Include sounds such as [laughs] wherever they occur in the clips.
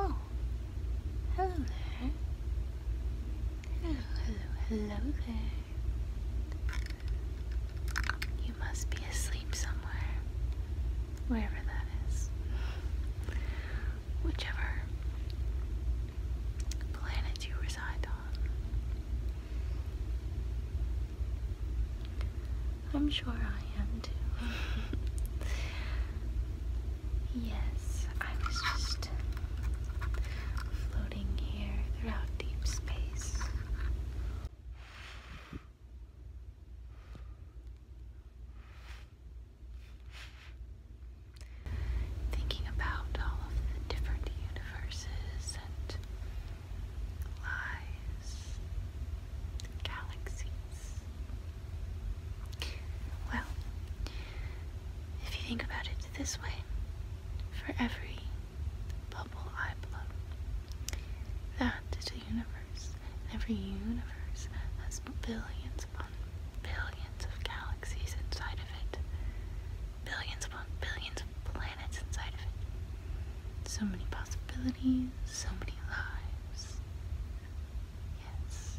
Oh, hello there. Hello, hello, hello there. You must be asleep somewhere wherever that is, whichever planet you reside on. I'm sure I am too. [laughs] yes, I was just floating here throughout deep space. Thinking about all of the different universes and lies, galaxies. Well, if you think about it this way, for every bubble I blow. That is a universe, and every universe has billions upon billions of galaxies inside of it, billions upon billions of planets inside of it. So many possibilities, so many lives. Yes.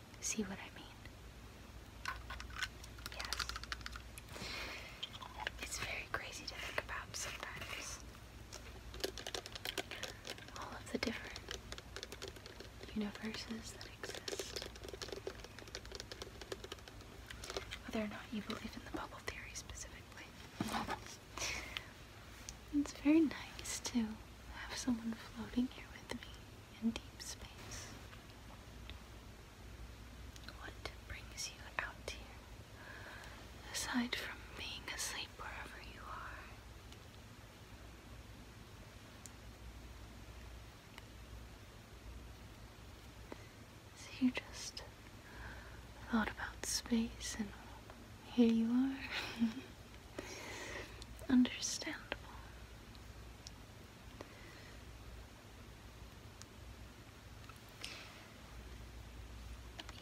See what I mean? Yes. It's very crazy to think about sometimes. All of the different universes that exist. Whether or not you believe in the bubble theory specifically. it's very nice to have someone floating here with me in deep space. What brings you out here, aside from being asleep wherever you are? So you just thought about space and here you are. [laughs] Understandable.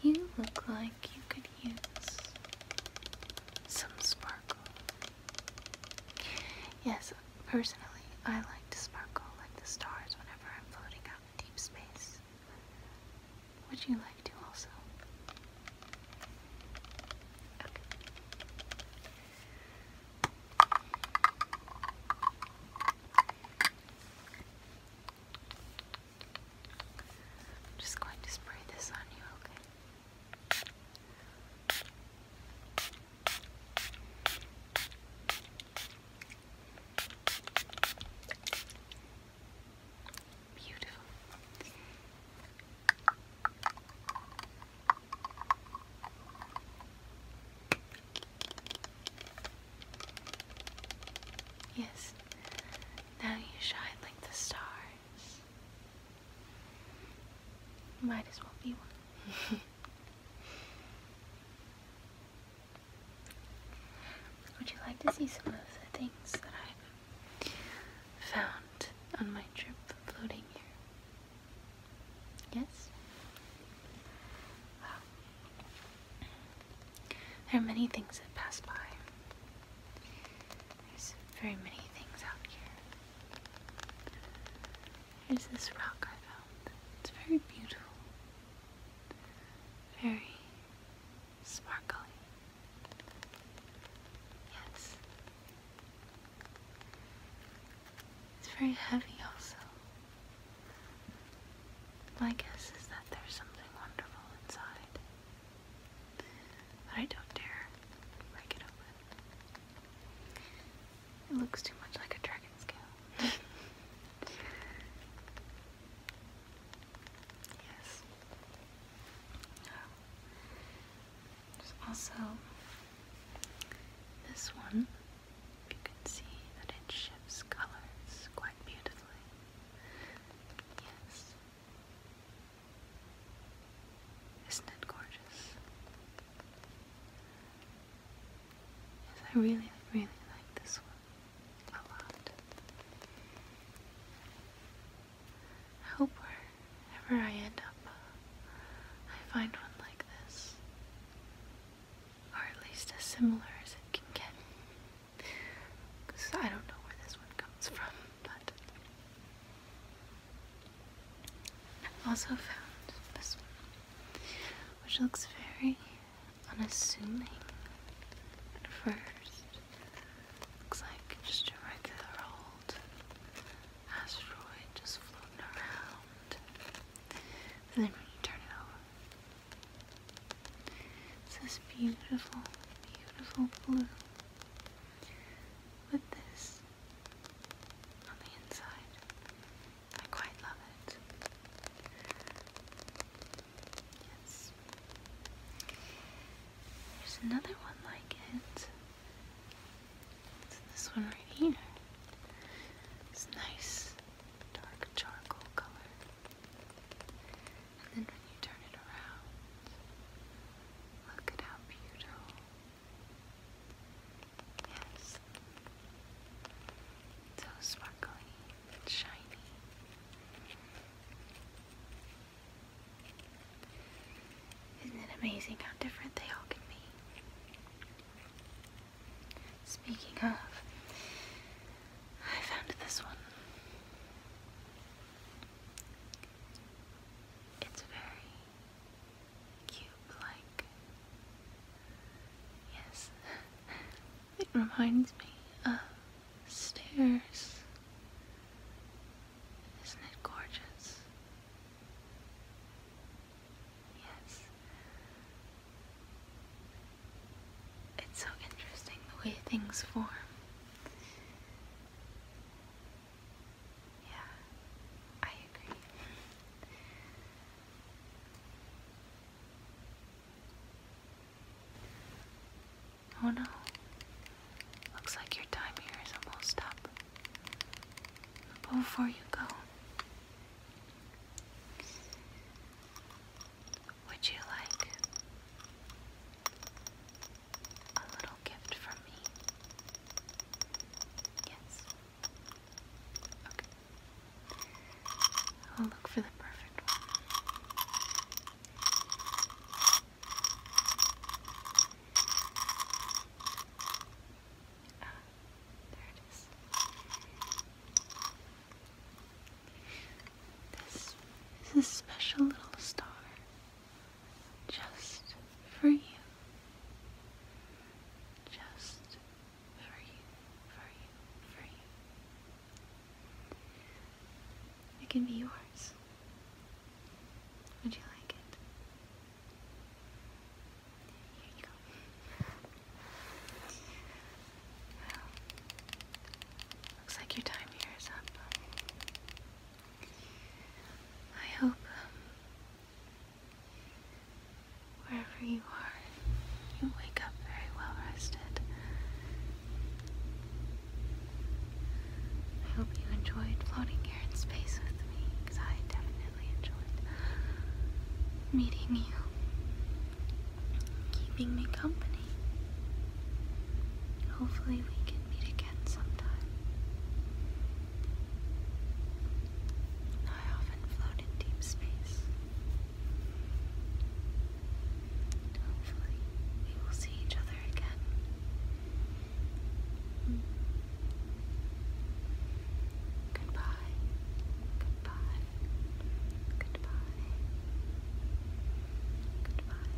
You look like you could use some sparkle. Yes, personally, I like to sparkle like the stars whenever I'm floating out in deep space. Would you like to also? I'm just going to spray this on you, okay? Beautiful. Yes, now you shine like the stars. Might as well be one. [laughs] Would you like to see some of the things that i found on my trip floating here. Yes? There are many things that pass by. There's very many things out here. Here's this rock I found. It's very beautiful. Very Sparkly, Yes. It's very heavy also. My guess is that there's something wonderful inside. But I don't dare break it open. It looks too much like a dragon scale. [laughs] Yes. also this one. You can see that it shifts colors quite beautifully. Yes. Isn't it gorgeous? I really, really like this one. I hope wherever I end up, I find one like this. Or at least as similar as it can get. Because I don't know where this one comes from, but. I've also found this one, which looks very unassuming at first. Looks like just a regular old asteroid just floating around. And then when you turn it over, it's this beautiful, beautiful blue with this on the inside. I quite love it. Yes. There's another one like it. It's this one right here. It's nice, dark charcoal color. And then when you turn it around, look at how beautiful. Yes. So sparkly and shiny. Isn't it amazing how different they all can be? Speaking of, I found this one. It's very cube like Yes. It reminds me of stairs. Isn't it gorgeous? Yes. It's so interesting the way things form. Yeah, I agree. Oh no. Looks like your time here is almost up. before you go, would you like a little gift from me? Yes. Okay. I'll look for the perfect one. Ah, there it is. This is a special little star just for you just for you, for you, for you. It can be yours. Would you like it? Here you go. looks like your time here is up. I hope um, Wherever you are, you wake up very well rested. I hope you enjoyed floating here in space with me, because I definitely enjoyed meeting you, keeping me company. Hopefully, we can meet again sometime. I often float in deep space. Hopefully, we will see each other again. Goodbye. Goodbye. Goodbye. Goodbye.